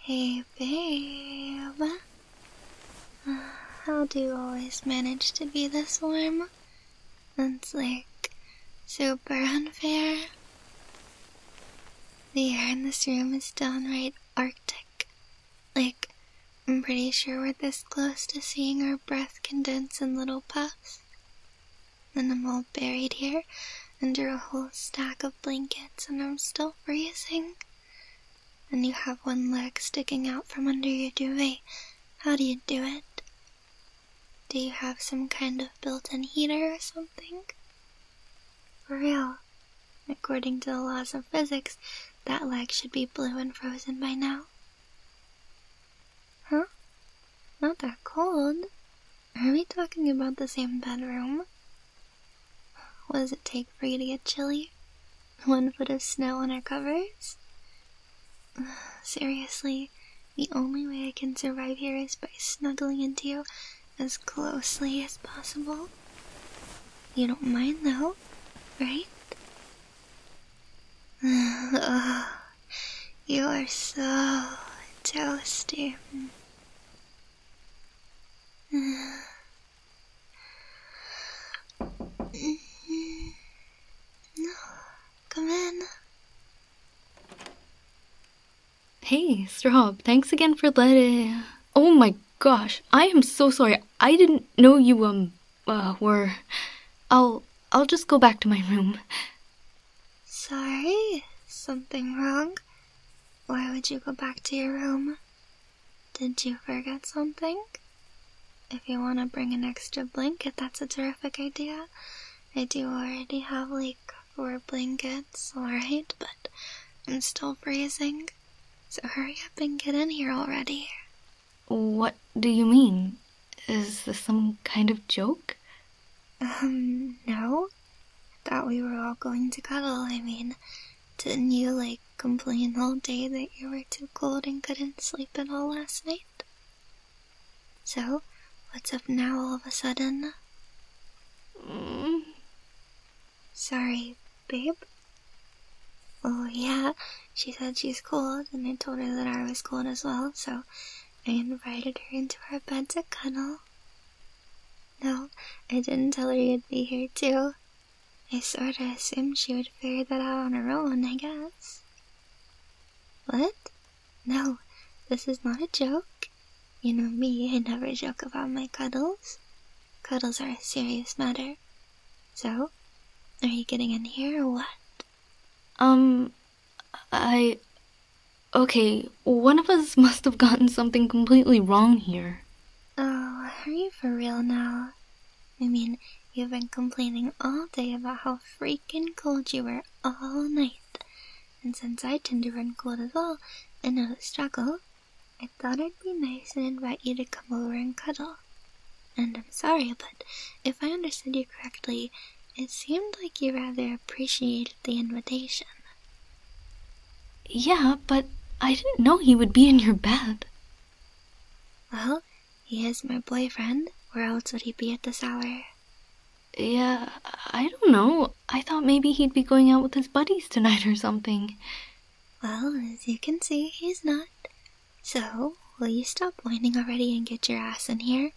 Hey, babe. How do you always manage to be this warm? That's like super unfair. The air in this room is downright arctic. Like, I'm pretty sure we're this close to seeing our breath condense in little puffs. And I'm all buried here under a whole stack of blankets, and I'm still freezing. And you have one leg sticking out from under your duvet. How do you do it? Do you have some kind of built in heater or something? For real, according to the laws of physics, that leg should be blue and frozen by now. Huh? Not that cold? Are we talking about the same bedroom? What does it take for you to get chilly? One foot of snow on our covers? Seriously, the only way I can survive here is by snuggling into you as closely as possible. You don't mind though, right? You are so toasty. No, come in. Hey, Strob, thanks again for letting. Oh my gosh, I am so sorry. I didn't know you, um, uh, we're. I'll. I'll just go back to my room. Sorry? Something wrong? Why would you go back to your room? Did you forget something? If you want to bring an extra blanket, that's a terrific idea. I do already have like four blankets, alright, but I'm still freezing. So hurry up and get in here already. What do you mean? Is this some kind of joke? Um, no. I thought we were all going to cuddle, I mean. Didn't you, like, complain all day that you were too cold and couldn't sleep at all last night? So, what's up now all of a sudden? Mm. Sorry, babe? Oh, yeah, she said she's cold, and I told her that I was cold as well, so I invited her into our bed to cuddle. No, I didn't tell her you'd be here too. I sorta assumed she would figure that out on her own, I guess. What? No, this is not a joke. You know me, I never joke about my cuddles. Cuddles are a serious matter. So, are you getting in here or what? Um, I. Okay, one of us must have gotten something completely wrong here. Oh, are you for real now? I mean, you've been complaining all day about how freaking cold you were all night. And since I tend to run cold as well and know the struggle, I thought it'd be nice and invite you to come over and cuddle. And I'm sorry but if I understood you correctly, it seemed like you rather appreciated the invitation. Yeah, but I didn't know he would be in your bed. Well, he is my boyfriend. Where else would he be at this hour? Yeah, I don't know. I thought maybe he'd be going out with his buddies tonight or something. Well, as you can see, he's not. So, will you stop whining already and get your ass in here?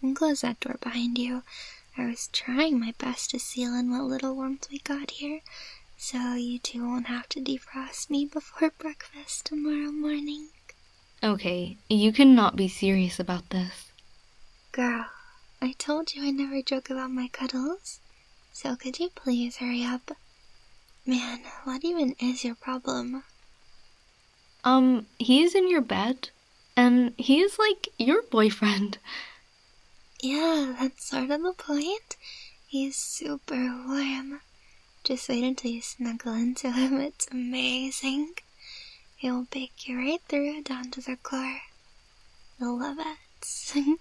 And close that door behind you. I was trying my best to seal in what little warmth we got here, so you two won't have to defrost me before breakfast tomorrow morning. Okay, you cannot be serious about this. Girl, I told you I never joke about my cuddles, so could you please hurry up? Man, what even is your problem? Um, he is in your bed, and he is like your boyfriend. Yeah, that's sort of the point. He's super warm. Just wait until you snuggle into him, it's amazing. He'll bake you right through down to the core. You'll love it.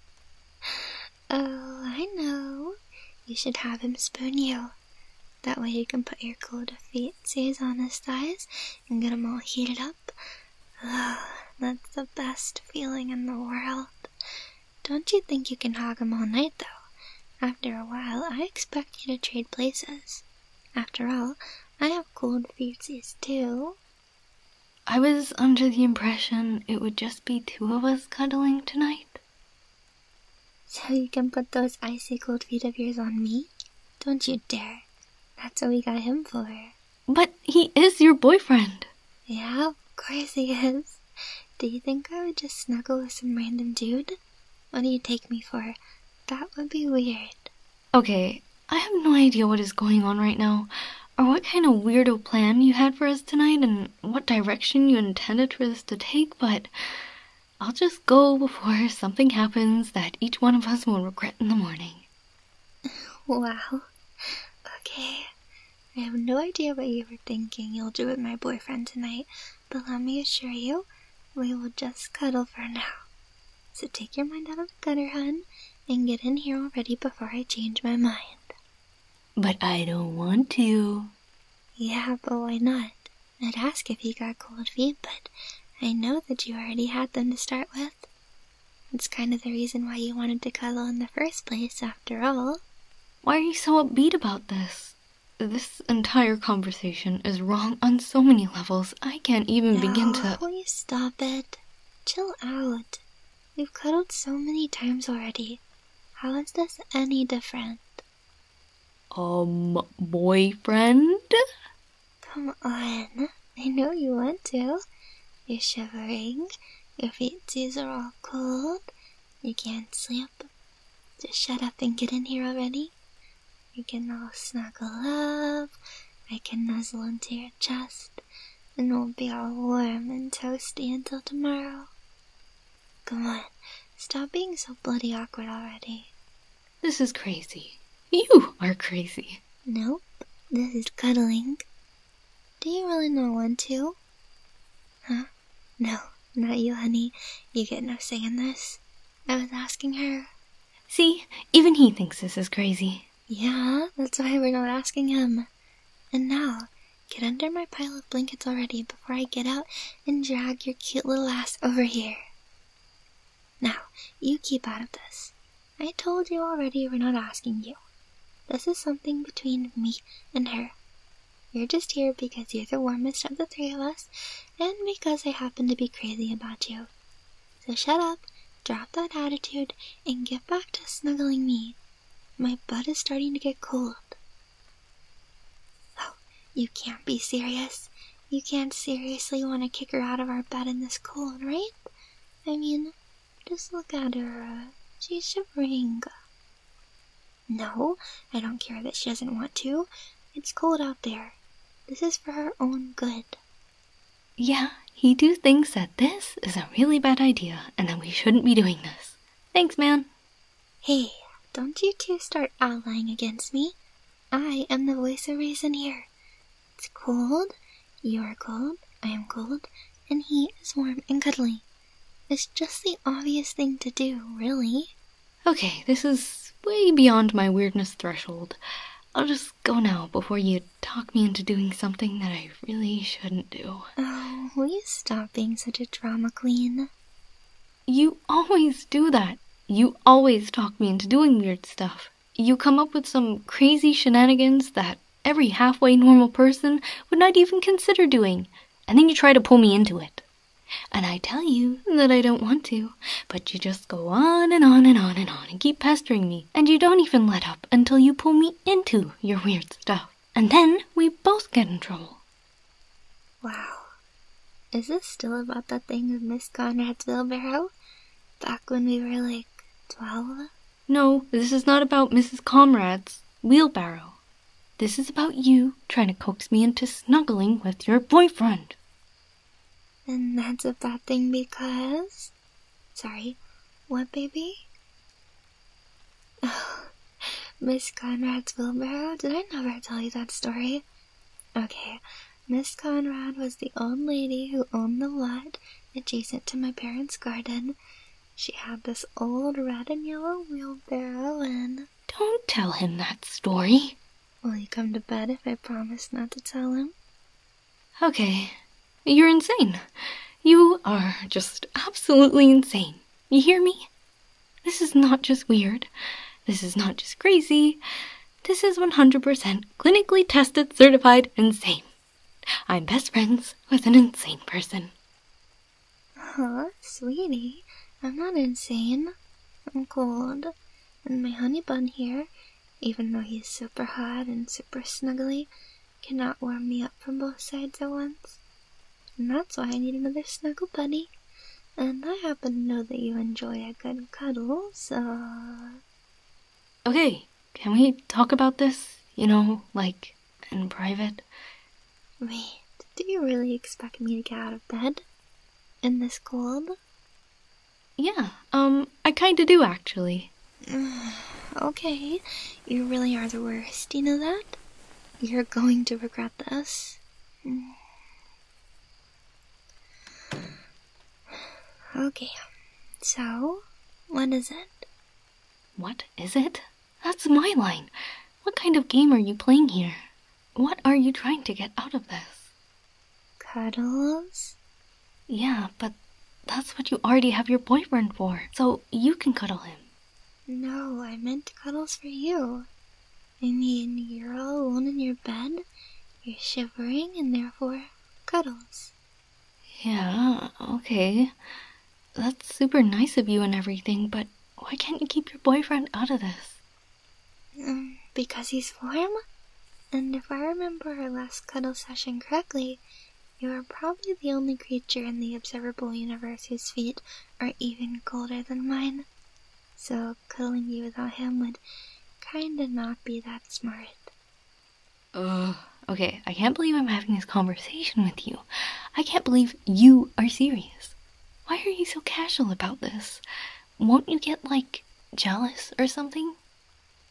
oh, I know. You should have him spoon you. That way you can put your cold fiancés on his thighs and get them all heated up. Oh, that's the best feeling in the world. Don't you think you can hog him all night, though? After a while, I expect you to trade places. After all, I have cold fiancés, too. I was under the impression it would just be two of us cuddling tonight. So you can put those icy cold feet of yours on me? Don't you dare. That's what we got him for. But he is your boyfriend. Yeah, of course he is. Do you think I would just snuggle with some random dude? What do you take me for? That would be weird. Okay, I have no idea what is going on right now, or what kind of weirdo plan you had for us tonight, and what direction you intended for this to take, but I'll just go before something happens that each one of us will regret in the morning. Well, Okay. I have no idea what you were thinking you'll do with my boyfriend tonight, but let me assure you, we will just cuddle for now. So take your mind out of the gutter, hun, and get in here already before I change my mind. But I don't want to. Yeah, but why not? I'd ask if you got cold feet, but I know that you already had them to start with. It's kind of the reason why you wanted to cuddle in the first place, after all. Why are you so upbeat about this? This entire conversation is wrong on so many levels. I can't even begin to. Will you stop it? Chill out. We've cuddled so many times already. How is this any different? Um, boyfriend? Come on. I know you want to. You're shivering. Your feetsies are all cold. You can't sleep. Just shut up and get in here already. You can all snuggle up. I can nuzzle into your chest. And we'll be all warm and toasty until tomorrow. Come on, stop being so bloody awkward already. This is crazy. You are crazy. Nope, this is cuddling. Do you really know want to? Huh? No, not you, honey. You get no say in this. I was asking her. See, even he thinks this is crazy. Yeah, that's why we're not asking him. And now, get under my pile of blankets already before I get out and drag your cute little ass over here. Now, you keep out of this. I told you already we're not asking you. This is something between me and her. You're just here because you're the warmest of the three of us and because I happen to be crazy about you. So shut up, drop that attitude, and get back to snuggling me. My butt is starting to get cold. Oh, you can't be serious. You can't seriously want to kick her out of our bed in this cold, right? I mean, just look at her. She's shivering. No, I don't care that she doesn't want to. It's cold out there. This is for her own good. Yeah, he too thinks that this is a really bad idea and that we shouldn't be doing this. Thanks, man. Hey, don't you two start allying against me. I am the voice of reason here. It's cold, you are cold, I am cold, and he is warm and cuddly. It's just the obvious thing to do, really. Okay, this is way beyond my weirdness threshold. I'll just go now before you talk me into doing something that I really shouldn't do. Oh, will you stop being such a drama queen? You always do that. You always talk me into doing weird stuff. You come up with some crazy shenanigans that every halfway normal person would not even consider doing, and then you try to pull me into it. And I tell you that I don't want to, but you just go on and on and on and on and keep pestering me, and you don't even let up until you pull me into your weird stuff. And then we both get in trouble. Wow. Is this still about that thing of Miss Conrad's wheelbarrow? Back when we were like 12? No, this is not about Mrs. Conrad's wheelbarrow. This is about you trying to coax me into snuggling with your boyfriend. And that's a bad thing because. Sorry, what baby? Oh, Miss Conrad's wheelbarrow? Did I never tell you that story? Okay, Miss Conrad was the old lady who owned the lot adjacent to my parents' garden. She had this old red and yellow wheelbarrow and. Don't tell him that story. Will you come to bed if I promise not to tell him? Okay. You're insane. You are just absolutely insane. You hear me? This is not just weird. This is not just crazy. This is 100% clinically tested, certified, insane. I'm best friends with an insane person. Oh, sweetie, I'm not insane. I'm cold. And my honey bun here, even though he's super hot and super snuggly, cannot warm me up from both sides at once. And that's why I need another snuggle buddy. And I happen to know that you enjoy a good cuddle, so. Okay, can we talk about this? You know, like, in private? Wait, do you really expect me to get out of bed? In this cold? Yeah, um, I kinda do actually. okay, you really are the worst, you know that? You're going to regret this. Okay, so what is it? What is it? That's my line. What kind of game are you playing here? What are you trying to get out of this? Cuddles? Yeah, but that's what you already have your boyfriend for, so you can cuddle him. No, I meant cuddles for you. And you're all alone in your bed. You're shivering and therefore cuddles. Yeah, okay. That's super nice of you and everything, but why can't you keep your boyfriend out of this? Um, because he's warm? And if I remember our last cuddle session correctly, you are probably the only creature in the observable universe whose feet are even colder than mine. So Cuddling you without him would kinda not be that smart. Ugh. Okay, I can't believe I'm having this conversation with you. I can't believe you are serious. Why are you so casual about this? Won't you get, like, jealous or something?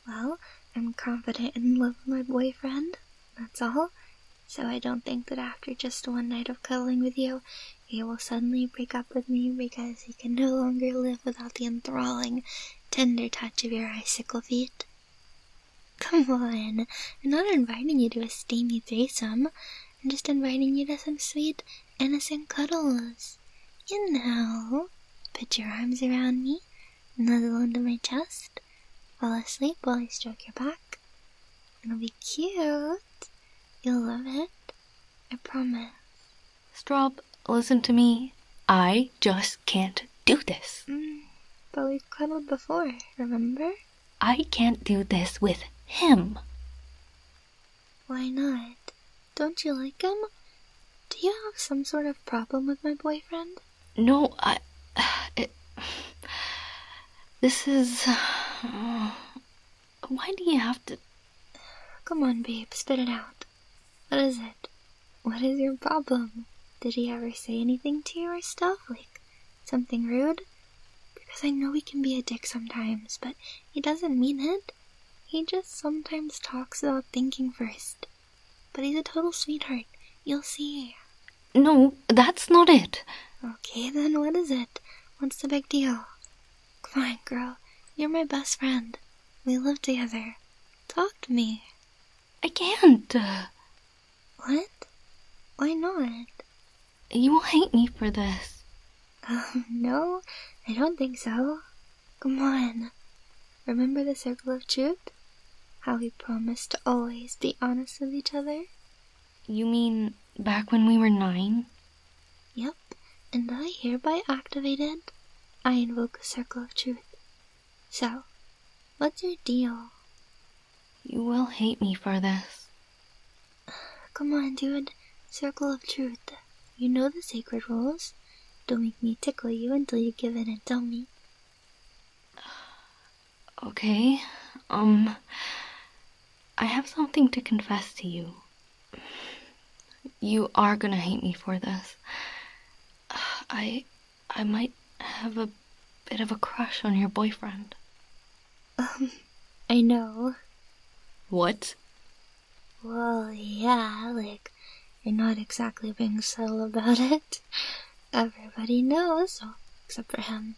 Well, I'm confident in love with my boyfriend, that's all. So I don't think that after just one night of cuddling with you, he will suddenly break up with me because he can no longer live without the enthralling, tender touch of your icicle feet. Come on, I'm not inviting you to a steamy threesome. I'm just inviting you to some sweet, innocent cuddles. You know, put your arms around me, nuzzle into my chest, fall asleep while I stroke your back. It'll be cute. You'll love it. I promise. Straub, listen to me. I just can't do this. Mm, but we've cuddled before, remember? I can't do this with him. Why not? Don't you like him? Do you have some sort of problem with my boyfriend? No, I. It, this is. Why do you have to? Come on, babe, spit it out. What is it? What is your problem? Did he ever say anything to you or stuff? Like, something rude? Because I know he can be a dick sometimes, but he doesn't mean it. He just sometimes talks without thinking first. But he's a total sweetheart. You'll see. No, that's not it. Okay, then what is it? What's the big deal? Come on, girl. You're my best friend. We live together. Talk to me. I can't. What? Why not? You will hate me for this. Um, no, I don't think so. Come on. Remember the circle of truth? How we promised to always be honest with each other? You mean back when we were nine? Yep, and I hereby activated. I invoke a circle of truth. So, what's your deal? You will hate me for this. Come on, dude. Circle of truth. You know the sacred rules. Don't make me tickle you until you give in and tell me. Okay, um, I have something to confess to you. You are gonna hate me for this. I. I might have a bit of a crush on your boyfriend. Um, I know. What? Well, yeah, like, you're not exactly being subtle about it. Everybody knows, except for him.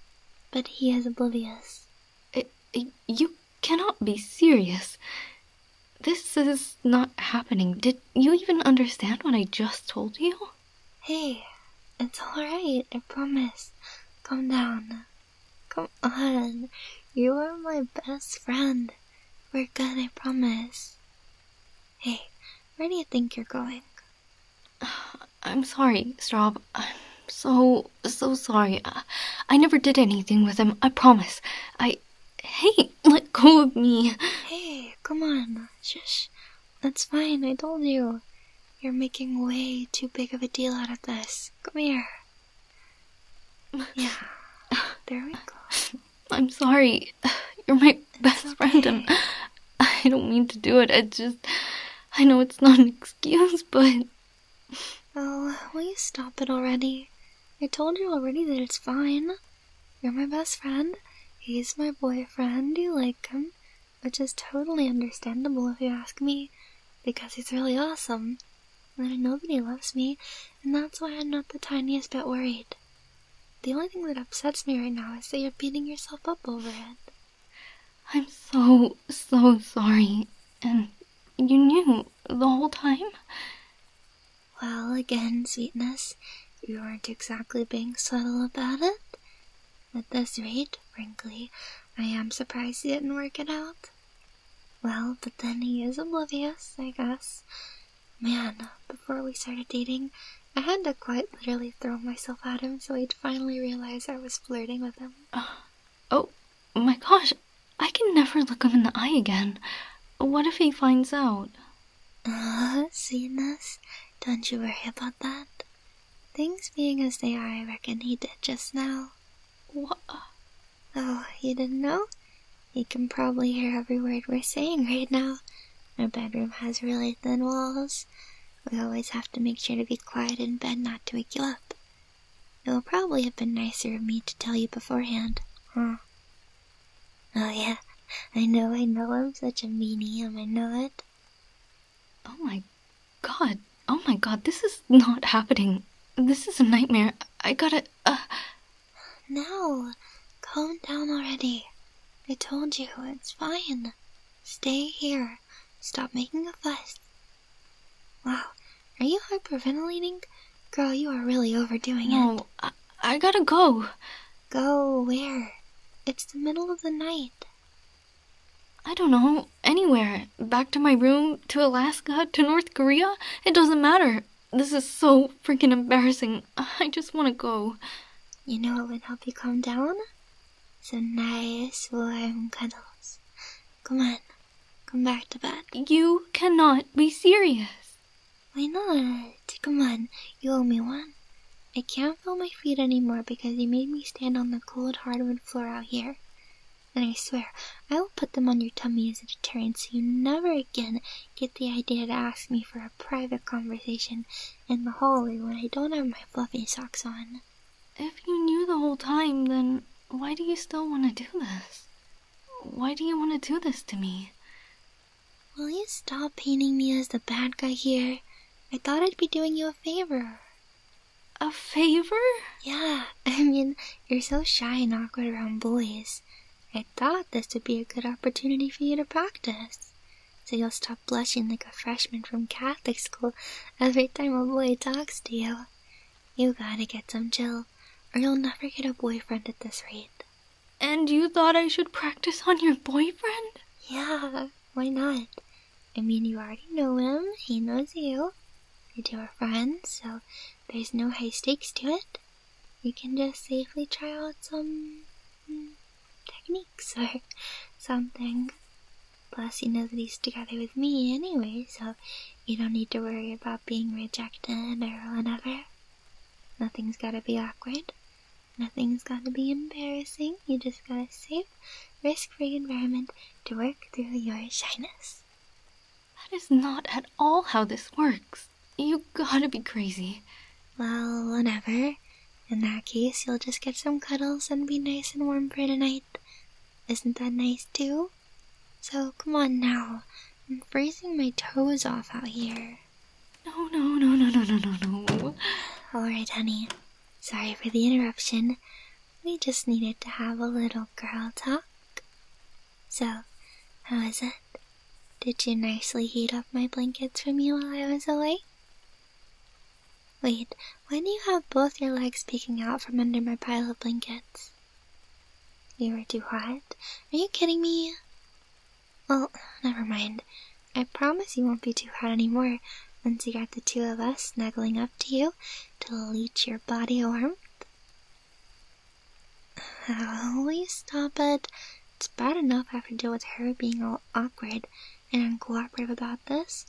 But he is oblivious. It, you cannot be serious. This is not happening. Did you even understand what I just told you? Hey, it's alright, I promise. Calm down. Come on. You are my best friend. We're good, I promise. Hey, where do you think you're going? I'm sorry, Straub. I'm so, so sorry. I, never did anything with him, I promise. I. Hey, let go of me. Hey, come on. Shush. That's fine, I told you. You're making way too big of a deal out of this. Come here. Yeah. There we go. I'm sorry. You're my best friend, and I don't mean to do it. I just. I know it's not an excuse, but Oh, will you stop it already? I told you already that it's fine. You're my best friend. He's my boyfriend. You like him, which is totally understandable if you ask me, because he's really awesome. And I know that he loves me, and that's why I'm not the tiniest bit worried. The only thing that upsets me right now is that you're beating yourself up over it. I'm so, so sorry. And you knew the whole time? Well, again, sweetness, you weren't exactly being subtle about it. At this rate, frankly, I am surprised he didn't work it out. Well, but then he is oblivious, I guess. Man, before we started dating, I had to quite literally throw myself at him so he'd finally realize I was flirting with him. oh, my gosh, I can never look him in the eye again. What if he finds out? Ah, uh, see, Ness? Don't you worry about that. Things being as they are, I reckon he did just now. What? Oh, you didn't know? He can probably hear every word we're saying right now. Our bedroom has really thin walls. We always have to make sure to be quiet in bed not to wake you up. It would probably have been nicer of me to tell you beforehand, hmm. Oh, yeah. I know, I know I'm such a medium, I know it. Oh my god. Oh my god, this is not happening. This is a nightmare. I gotta. Uh... No, calm down already. I told you, it's fine. Stay here. Stop making a fuss. Wow, are you hyperventilating? Girl, you are really overdoing it. No, I, gotta go. Go where? It's the middle of the night. I don't know. Anywhere. Back to my room, to Alaska, to North Korea. It doesn't matter. This is so freaking embarrassing. I just want to go. You know what would help you calm down? some nice warm cuddles. Come on, come back to bed. You cannot be serious. Why not? Come on, you owe me one. I can't feel my feet anymore because you made me stand on the cold hardwood floor out here. And I swear, I will put them on your tummy as a deterrent so you never again get the idea to ask me for a private conversation in the hallway when I don't have my fluffy socks on. If you knew the whole time, then why do you still want to do this? Why do you want to do this to me? Will you stop painting me as the bad guy here? I thought I'd be doing you a favor. A favor? Yeah, I mean, you're so shy and awkward around boys. I thought this would be a good opportunity for you to practice. So you'll stop blushing like a freshman from Catholic school every time a boy talks to you. You gotta get some Jill, or you'll never get a boyfriend at this rate. And you thought I should practice on your boyfriend? Yeah, why not? I mean, you already know him, he knows you. You two are friends, so there's no high stakes to it. You can just safely try out some hmm, techniques or something. Plus, you know that he's together with me anyway, so you don't need to worry about being rejected or whatever. Nothing's gotta be awkward. Nothing's gotta be embarrassing. You just got a safe, risk free environment to work through your shyness. That is not at all how this works. You gotta be crazy. Well, whatever. In that case, you'll just get some cuddles and be nice and warm for tonight. Isn't that nice too? So come on now. I'm freezing my toes off out here. No, no, no, no, no, no, no, Alright, honey. Sorry for the interruption. We just needed to have a little girl talk. So, how was it? Did you nicely heat up my blankets for me while I was away? Wait, why do you have both your legs peeking out from under my pile of blankets? You were too hot? Are you kidding me? Well, never mind. I promise you won't be too hot anymore once you got the two of us snuggling up to you to leech your body warmth. Oh, will you stop it? It's bad enough I have to deal with her being all awkward and uncooperative about this.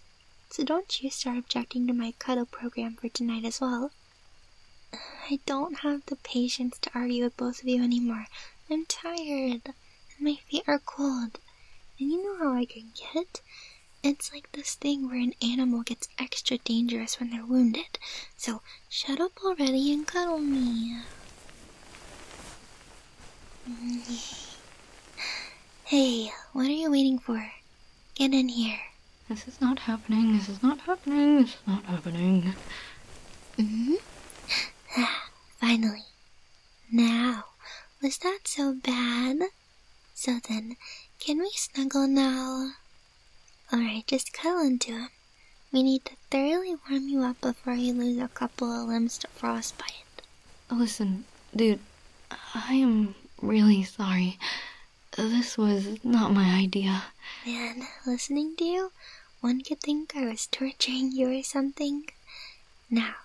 So don't you start objecting to my cuddle program for tonight as well. I don't have the patience to argue with both of you anymore. I'm tired, and my feet are cold. And you know how I can get? It's like this thing where an animal gets extra dangerous when they're wounded. So shut up already and cuddle me. Mm. Hey, what are you waiting for? Get in here. This is not happening. This is not happening. This is not happening. Mm hmm. Finally. Now, was that so bad? So then, can we snuggle now? Alright, just cuddle into him. We need to thoroughly warm you up before you lose a couple of limbs to frostbite. Oh, listen, dude, I am really sorry. This was not my idea. Man, listening to you, one could think I was torturing you or something. Now,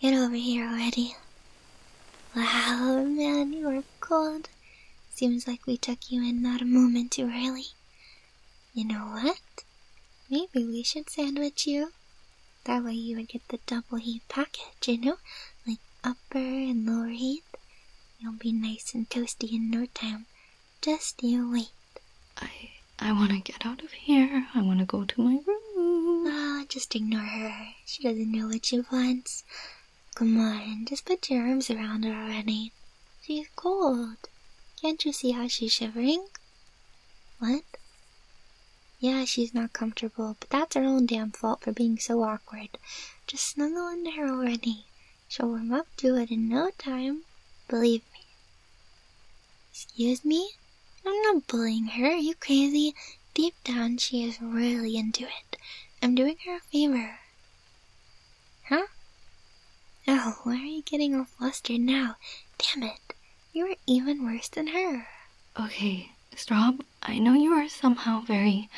get over here already. Wow, man, you are cold. Seems like we took you in not a moment too early. You know what? Maybe we should sandwich you. That way you would get the double heat package, you know? Like upper and lower heat. You'll be nice and toasty in no time. Just you wait. I I wanna get out of here. I wanna go to my room. Ah, oh, just ignore her. She doesn't know what she wants. Come on, just put your arms around her already. She's cold. Can't you see how she's shivering? What? Yeah, she's not comfortable, but that's her own damn fault for being so awkward. Just snuggle into her already. She'll warm up to it in no time. Believe me. Excuse me? I'm not bullying her, are you crazy? Deep down, she is really into it. I'm doing her a favor. Huh? Oh, why are you getting all flustered now? Damn it. You are even worse than her. Okay, stop I know you are somehow very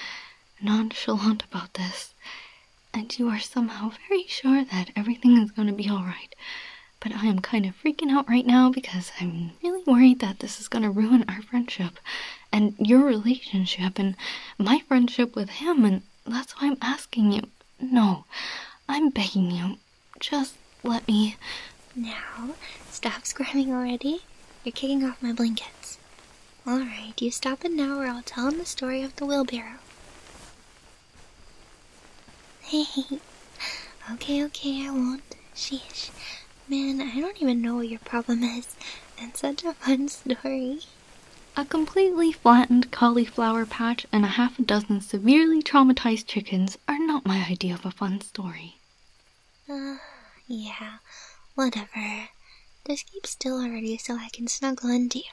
nonchalant about this, and you are somehow very sure that everything is going to be alright. But I am kind of freaking out right now because I'm really worried that this is going to ruin our friendship and your relationship and my friendship with him, and that's why I'm asking you. No, I'm begging you. Just let me now, stop squirming already. You're kicking off my blankets. Alright, you stop it now or I'll tell him the story of the wheelbarrow. Hey, okay, okay, I won't. Sheesh. Man, I don't even know what your problem is. It's such a fun story. A completely flattened cauliflower patch and a half a dozen severely traumatized chickens are not my idea of a fun story. Uh, yeah, whatever. Just keep still already so I can snuggle into you.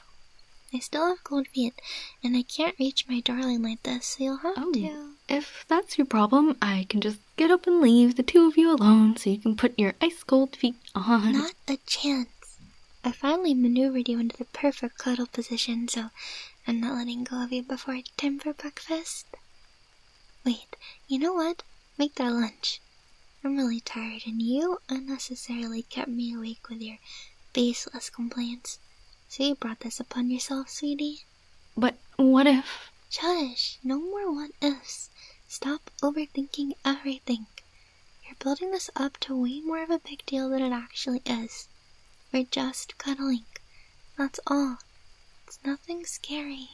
I still have cold feet, and I can't reach my darling like this, so you'll have oh, to. If that's your problem, I can just get up and leave the two of you alone so you can put your ice cold feet on. Not a chance. I finally maneuvered you into the perfect cuddle position, so I'm not letting go of you before it's time for breakfast. Wait, you know what? Make that lunch. I'm really tired, and you unnecessarily kept me awake with your baseless complaints. So you brought this upon yourself, sweetie. But what if? Shush, no more what ifs. Stop overthinking everything. You're building this up to way more of a big deal than it actually is. We're just cuddling. That's all. It's nothing scary.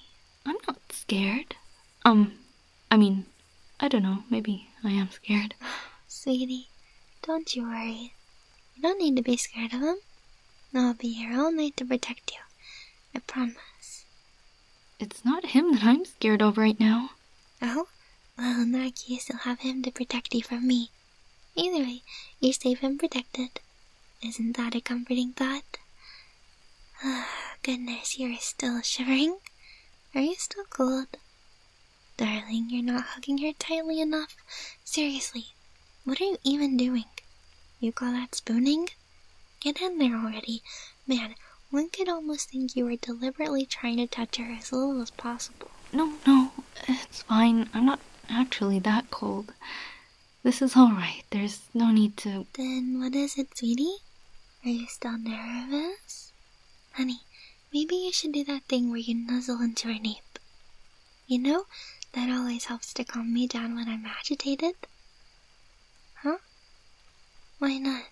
I'm not scared. Um, I mean, I don't know, maybe I am scared. Sweetie, don't you worry. You don't need to be scared of him. I'll be here all night to protect you. I promise. It's not him that I'm scared of right now. Oh? Well, in that case, you'll have him to protect you from me. Either way, you're safe and protected. Isn't that a comforting thought? Ah, goodness, you're still shivering? Are you still cold? Darling, you're not hugging her tightly enough. Seriously, what are you even doing? You call that spooning? Get in there already. Man, one could almost think you were deliberately trying to touch her as little as possible. No, no, it's fine. I'm not actually that cold. This is alright. There's no need to. Then what is it, sweetie? Are you still nervous? Honey, maybe you should do that thing where you nuzzle into her nape. You know, that always helps to calm me down when I'm agitated. Huh? Why not?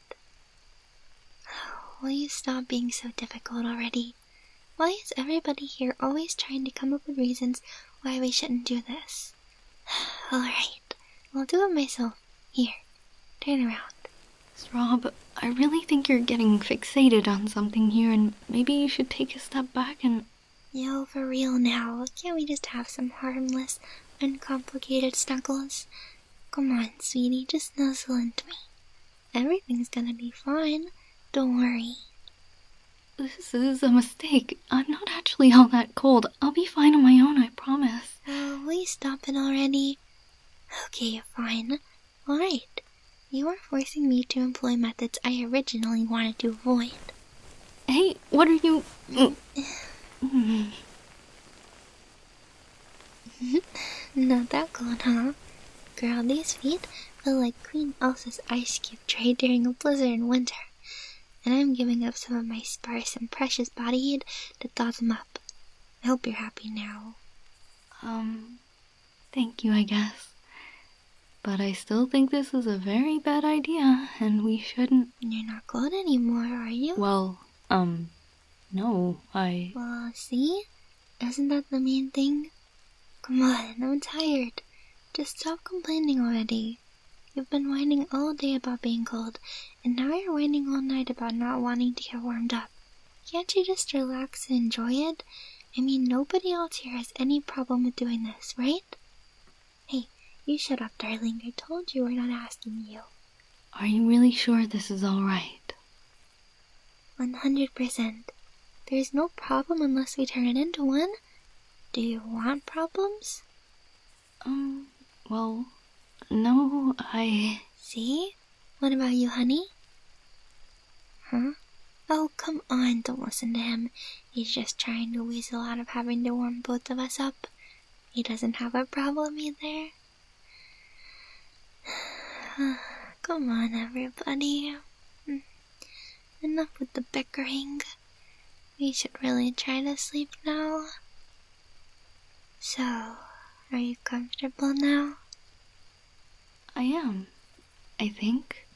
Oh, will you stop being so difficult already? Why is everybody here always trying to come up with reasons why we shouldn't do this? Alright, I'll do it myself. Here, turn around. Rob, I really think you're getting fixated on something here, and maybe you should take a step back and. Yo, for real now. Can't we just have some harmless, uncomplicated snuggles? Come on, sweetie, just nuzzle into me. Everything's gonna be fine. Don't worry. This is a mistake. I'm not actually all that cold. I'll be fine on my own, I promise. Oh, will stop it already? Okay, fine. Alright. You are forcing me to employ methods I originally wanted to avoid. Hey, what are you... Hmm. Hmm. Not that cold, huh? Girl, these feet feel like Queen Elsa's ice cube tray during a blizzard in winter and I'm giving up some of my sparse and precious body heat to them up. I hope you're happy now. Um, thank you, I guess. But I still think this is a very bad idea, and we shouldn't. You're not cold anymore, are you? Well, um, no, I. Well, see? Isn't that the main thing? Come on, I'm tired. Just stop complaining already. You've been whining all day about being cold, and now you're whining all night about not wanting to get warmed up. Can't you just relax and enjoy it? I mean, nobody else here has any problem with doing this, right? Hey, you shut up, darling. I told you we're not asking you. Are you really sure this is alright? 100%. There's no problem unless we turn it into one. Do you want problems? Um, well, no, I. See? What about you, honey? Huh? Oh, come on, don't listen to him. He's just trying to weasel out of having to warm both of us up. He doesn't have a problem either. come on, everybody. Hmm. Enough with the bickering. We should really try to sleep now. So, are you comfortable now? I am, I think.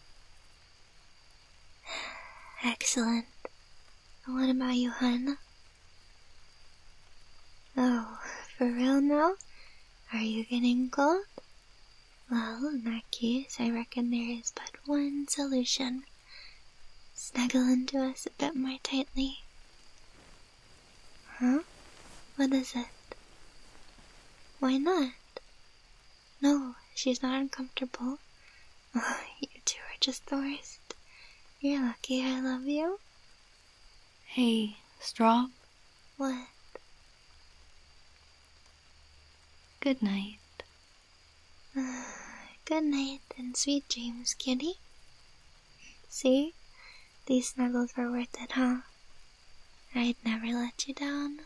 Excellent. What about you, hun? Oh, for real now? Are you getting cold? Well, in that case, I reckon there is but one solution. Snuggle into us a bit more tightly. Huh? What is it? Why not? No, she's not uncomfortable. you two are just the worst. You're lucky I love you. Hey, Strong? What? Good night. good night and sweet dreams, kitty. See? These snuggles were worth it, huh? I'd never let you down.